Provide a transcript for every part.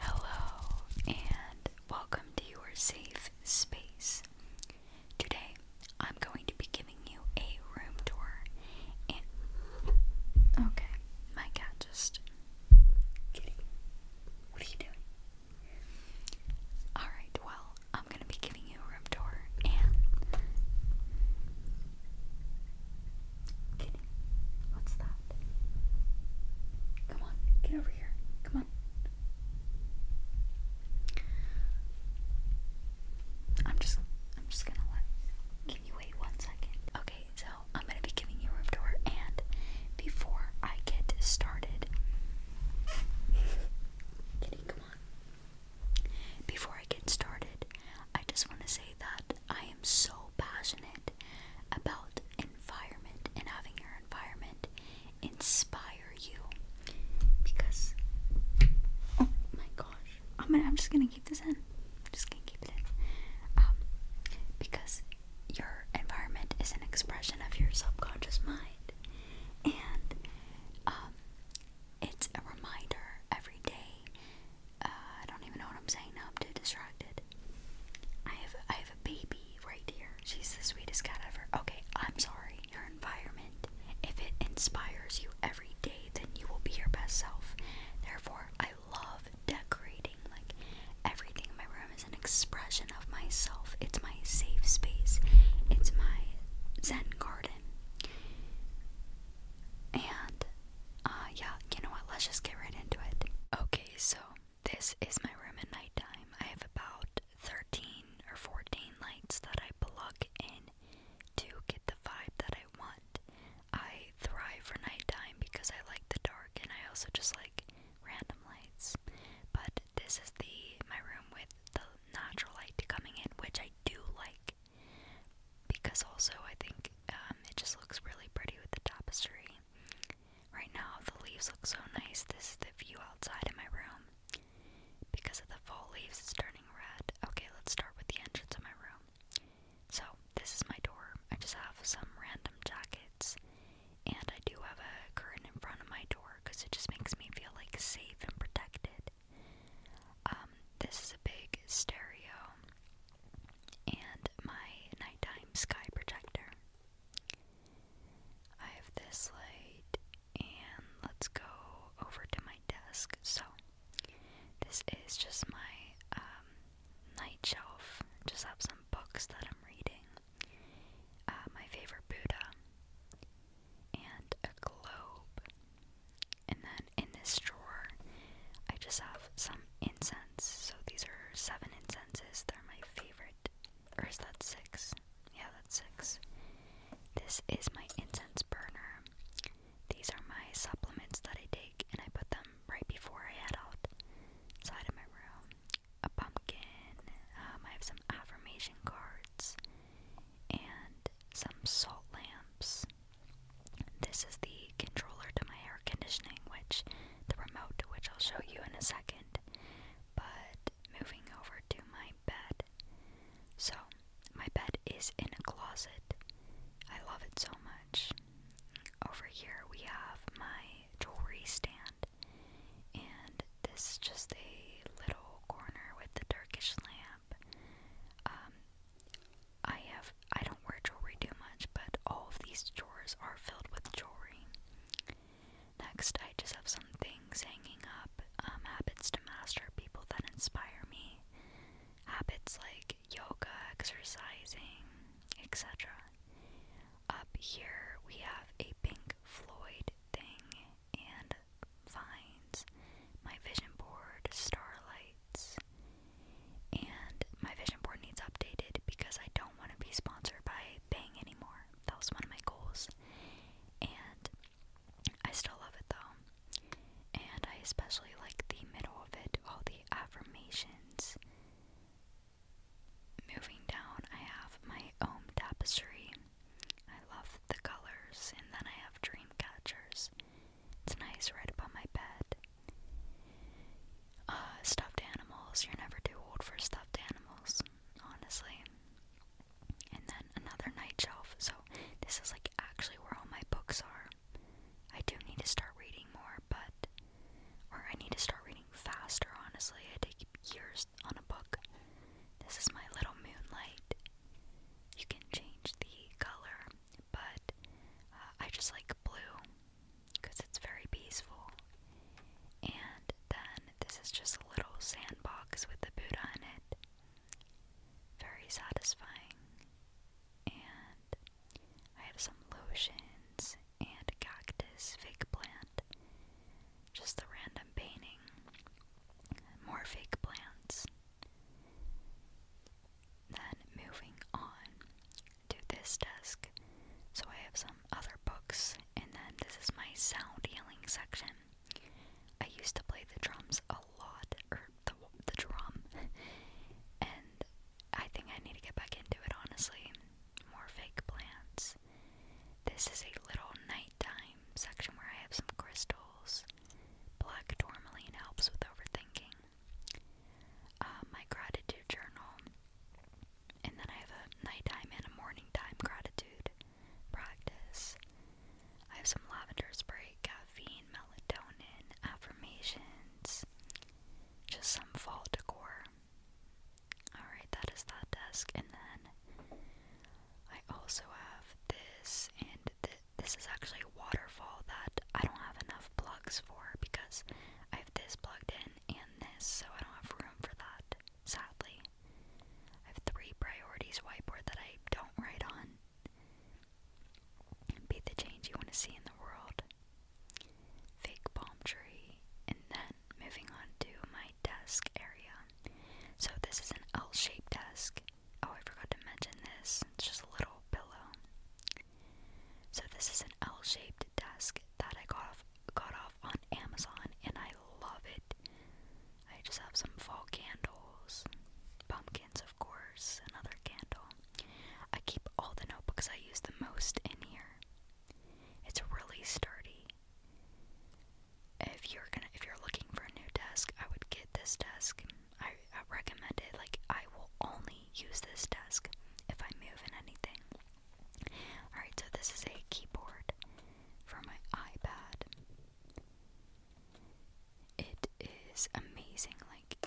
Hello, and welcome to your safe space. Today, I'm going to be giving you a room tour. And okay, my cat just kidding. What are you doing? Alright, well, I'm gonna be giving you a room tour and Kitty, what's that? Come on, get over here. Come on. I'm just I'm just gonna let can you wait one second? Okay, so I'm gonna be giving you room tour and before I get started Kitty, come on. Before I get started, I just wanna say that I am so passionate about environment and having your environment inspire you because oh my gosh I'm gonna, I'm just gonna keep this in just gonna keep it in um because your environment is an expression of your subconscious mind and um it's a reminder every day uh, I don't even know what I'm saying now. I'm too distracted. I have I have a baby right here. She's the sweetest cat ever. Okay, I'm sorry. Your environment, if it inspires you every day, then you will be your best self. Therefore, I love decorating. Like everything in my room is an expression of myself. It's my safe space. It's my zen garden. And uh yeah, you know what? Let's just get right into it. Okay, so this is my room at nighttime. I have about 13 or 14 lights that I plug in to get the vibe that I want. I thrive for nighttime because I like the dark and I also just like random lights. But this is the my room with the natural light coming in, which I do like because also I think um, it just looks really pretty with the tapestry. Right now, the leaves look so nice. This is the view outside of my room. Because of the fall leaves, it's turning red. Okay, let's start with the entrance of my room. So, this is my door. I just have some random jackets, and I do have a curtain in front of my door because it just makes me feel like safe and protected. Um, this is a big stereo and my nighttime sky projector. I have this light, and let's go over to my desk. So, this is just my um, night shelf. Just have some books that I'm reading. Uh, my favorite Buddha, and a globe, and then in this drawer, I just have some incense. So these are seven incenses. They're my favorite. Or is that six? Yeah, that's six. This is my incense burner. These are my supplements that I take, and I put them right before I head out. Side of my room, a pumpkin. Um, I have some affirmation cards and some salt lamps. This is the controller to my air conditioning, which the remote which I'll show you in a second. But moving over to my bed. So, my bed is in a closet. I love it so much. Over here, we have my jewelry stand, and this is just a little corner with the Turkish lamp. Um, I have I don't wear jewelry too much, but all of these drawers are filled with jewelry. Next, I just have some things hanging up, um, habits to master, people that inspire me, habits like yoga, exercising, etc. Up here, we have a Pink Floyd thing, and finds my vision board starlights. And my vision board needs updated because I don't want to be sponsored by Bang anymore. That was one of my goals. And I still love it though. And I especially like the middle of it, all the affirmations. Moving down, I have my own tapestry. I love the colors, and then I have dream catchers. It's nice right above my bed. Uh, stuffed animals. You're never too old for stuffed animals, honestly. And then another night shelf. So this is like actually where all my books are. I do need to start reading more, but or I need to start reading faster, honestly. I take years on a book. This is my little moonlight. You can change the color, but uh, I just like blue because it's very peaceful. And then this is just a little sandbox with a Buddha in it. Very satisfying. And I have some lotions and cactus fake plant. Just the random painting morphic plants. Then moving on to this desk. So I have some other books, and then this is my sound healing section. I used to play the drums a lot, or er, the, the drum, and I think I need to get back into it honestly. More fake plants. This is a little nighttime section where I have some crystals. Black tourmaline helps with overthinking. Uh, my gratitude journal. And then I have a nighttime and a morning time gratitude practice. I have some lavender spray, caffeine, melatonin, affirmations, just some fall decor. Alright, that is that desk. And then I also have this, and th this is actually a waterfall that I don't have enough plugs for because I have this plugged in and this, so I don't have room for that, sadly. I have three priorities whiteboard that I don't write on. Be the change you want to see in the world. Fake palm tree. And then moving on to my desk area. So this is an L-shaped desk. Oh, I forgot to mention this. It's just a little pillow. So this is an L-shaped desk that I got off got off on Amazon and I love it. I just have some fall candles, pumpkins of course, another candle. I keep all the notebooks I use the most in here. It's really sturdy if you're gonna if you're looking for a new desk, I would get this desk. I, recommend it. Like I will only use this desk if I move in anything. Alright, so this is a keyboard for my iPad. It is amazing, like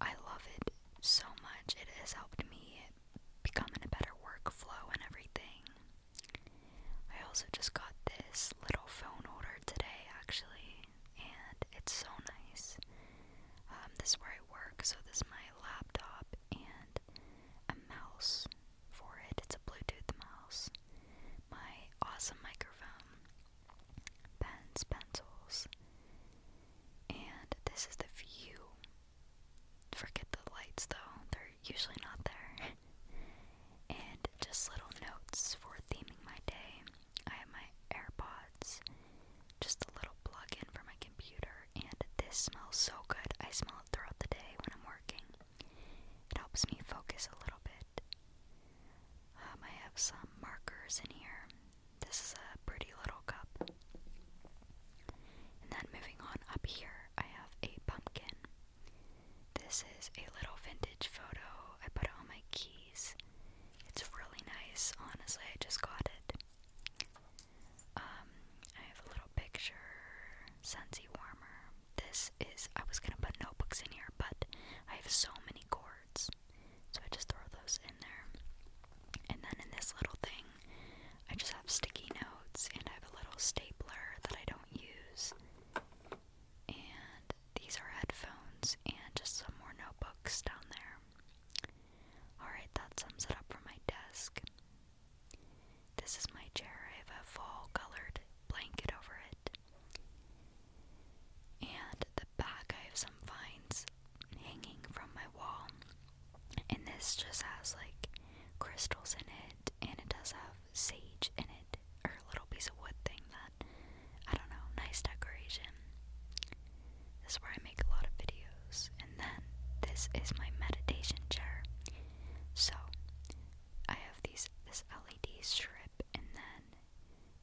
I love it so much. It has helped me become a better workflow and everything. I also just got this little phone order today, actually, and it's so nice. Um, this is where I work, so this is my laptop and a mouse for it. It's a Bluetooth mouse. My awesome microphone, pens, pencils, and this is the view Forget the lights though, they're usually not there. and just little notes for theming my day. I have my AirPods, just a little plug in for my computer, and this smells so good. I smell it throughout the day when I'm working. It helps me focus a little bit. Um, I have some markers in here. This is a pretty little cup. And then moving on up here, I have a pumpkin. This is a little vintage photo. I put it on my keys. It's really nice. Honestly, I just got it. Um, I have a little picture, Sensi warmer. This is I was gonna put notebooks in here, but I have so many cords, so I just throw those in there. And then in this little thing, I just have sticky notes and I have a little stapler that I don't use. And these are headphones and just some more notebooks down there. Alright, that sums it up for my desk. This is my chair. I have a fall colored blanket over it. And the back, I have some vines hanging from my wall. And this just has like crystals in it, and it does have sage in it, or a little piece of wood thing that I don't know, nice decoration. This is where I make a lot of videos, and then this is my meditation chair. So I have these this LED strip, and then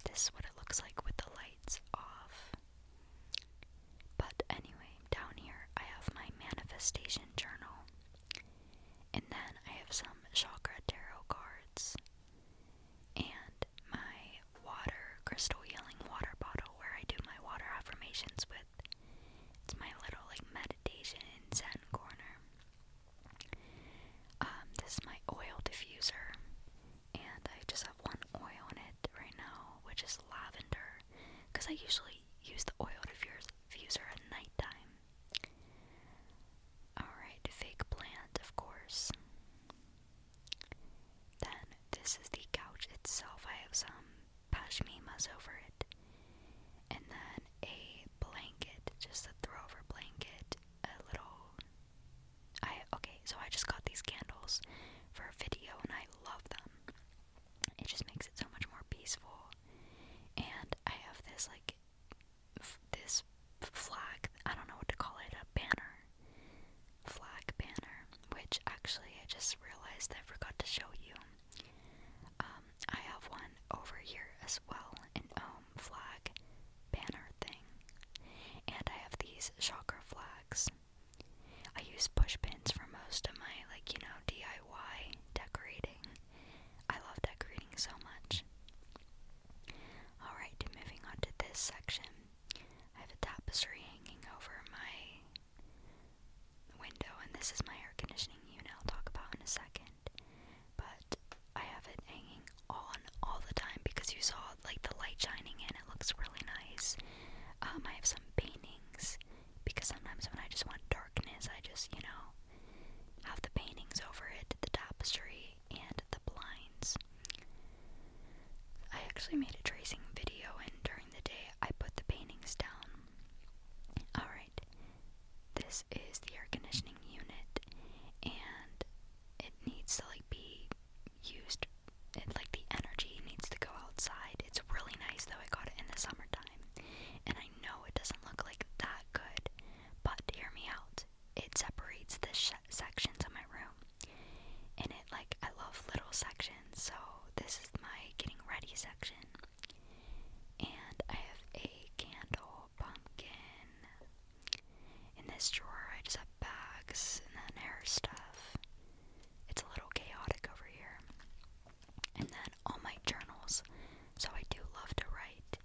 this is what it looks like with the lights off. But anyway, down here I have my manifestation journal. And then I have some chakra tarot cards. And my water, crystal healing water bottle where I do my water affirmations with. It's my little like meditation and zen corner. Um, this is my oil diffuser. And I just have one oil in it right now, which is lavender. Because I usually Use the oil diffuser at nighttime. Alright, fake plant, of course. Then, this is the couch itself. I have some pashmimas over it. And then a blanket, just a throwover blanket. A little. I. Okay, so I just got these candles for a video and I love them it just makes it so much more peaceful. And I have this like this flag. I don't know what to call it. A banner, flag banner. Which actually, I just realized I forgot to show you. Um, I have one over here as well, an Ohm um, flag banner thing, and I have these chakra flags. I use pushpins for most of my like, you know, DIY decorating. I love decorating so much. Alright, moving on to this section. I have a tapestry hanging over my window, and this is my air conditioning unit I'll talk about in a second. But I have it hanging on all the time because you saw like the light shining in, it looks really nice. Um, I have some painting because sometimes when I just want darkness, I just, you know, have the paintings over it, the tapestry, and the blinds. I actually made a tracing video, and during the day, I put the paintings down. Alright, this is the air conditioning unit, and it needs to like be used like the energy needs to go outside. It's really nice though. I got it in the summertime. And I know it doesn't look like that good, but hear me out. It separates the sections of my room. And it like I love little sections. So this is my getting ready section. And I have a candle pumpkin. In this drawer, I just have bags and then hair stuff. It's a little chaotic over here. And then all my journals. So I do love to write,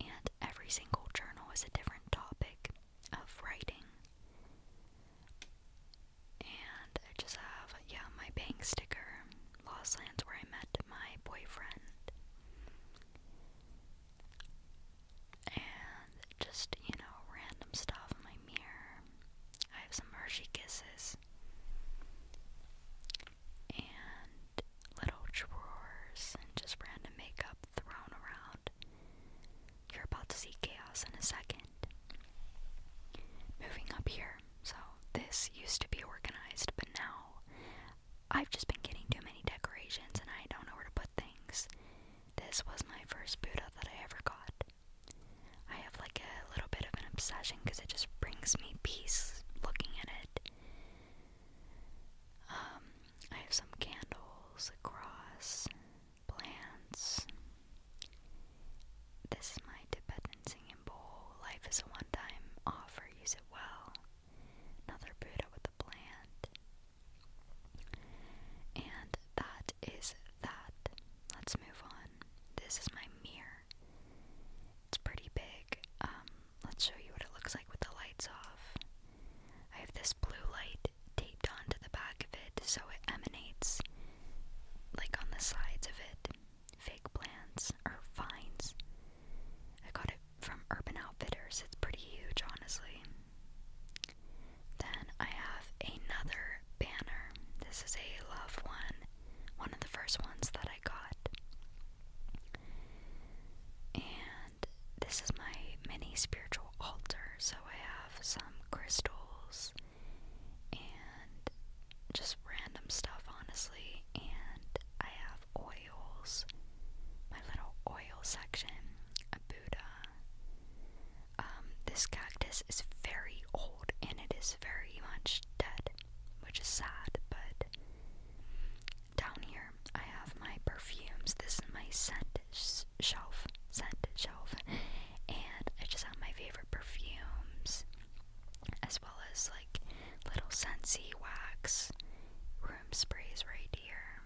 and every single journal is a different topic of writing. And I just have, yeah, my bank sticker, Lost Lands, where I met my boyfriend and just, you know, random stuff in my mirror. I have some Hershey Kisses and little drawers and just random makeup thrown around. You're about to see chaos in a second. Moving up here. So, this used to be organized, but now I've just been getting too many decorations and I don't know where to put things. This was my first Buddha that I ever got. I have like a little bit of an obsession because it just brings me peace looking at it. Um, I have some candles, a cross, plants. This is my Tibetan singing bowl. Life is a one time offer, use it well. Another Buddha with a plant. And that is that. Let's move on. This is my mirror. It's pretty big. Um, let's show you what it looks like with the lights off. I have this blue light taped onto the back of it so it emanates, like on the sides of it, fake plants or vines. I got it from Urban Outfitters. It's pretty huge, honestly. Then I have another banner. This is a love one, one of the first ones that I got. And this is my mini spiritual altar. So I have some crystals and just random stuff, honestly. And I have oils, my little oil section, a Buddha, uh, um, this cactus is very old and it is very much dead, which is sad, but down here I have my perfumes. This is my scent shelf, scent shelf, and I just have my favorite perfumes as well as like little scentsy wax room sprays right here.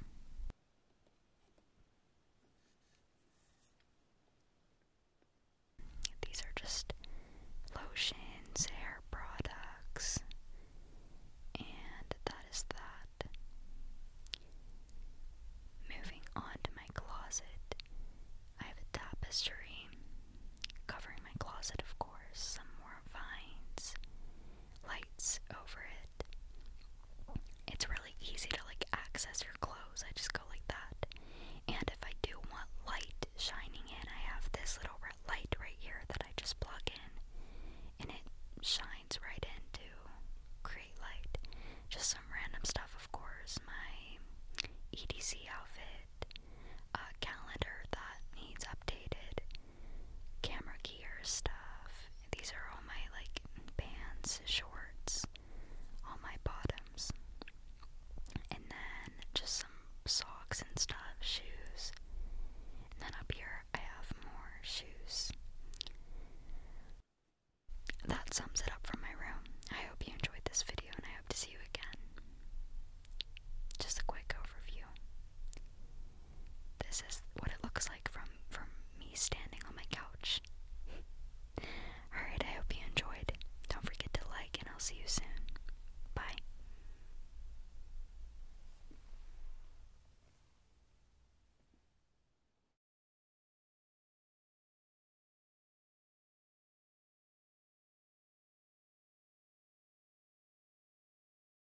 These are just lotions, hair products, and that is that. Moving on to my closet, I have a tapestry covering my closet, of course, some more vines, lights over it. It's really easy to like access your clothes. I just go like that. And if I do want light shining in, I have this little light right here that I just plug in and it shines right into create light. Just some random stuff, of course. My EDC outfit, a calendar that needs updated, camera gear stuff. These are all my like pants, shorts, all my bottoms. And then just some socks and stuff, shoes. then up here I have more shoes. That sums it up from my room. I hope you enjoyed this video and I hope to see you again. Just a quick overview. This is what it looks like from from me standing on my couch. Alright, I hope you enjoyed. Don't forget to like and I'll see you soon. Bye.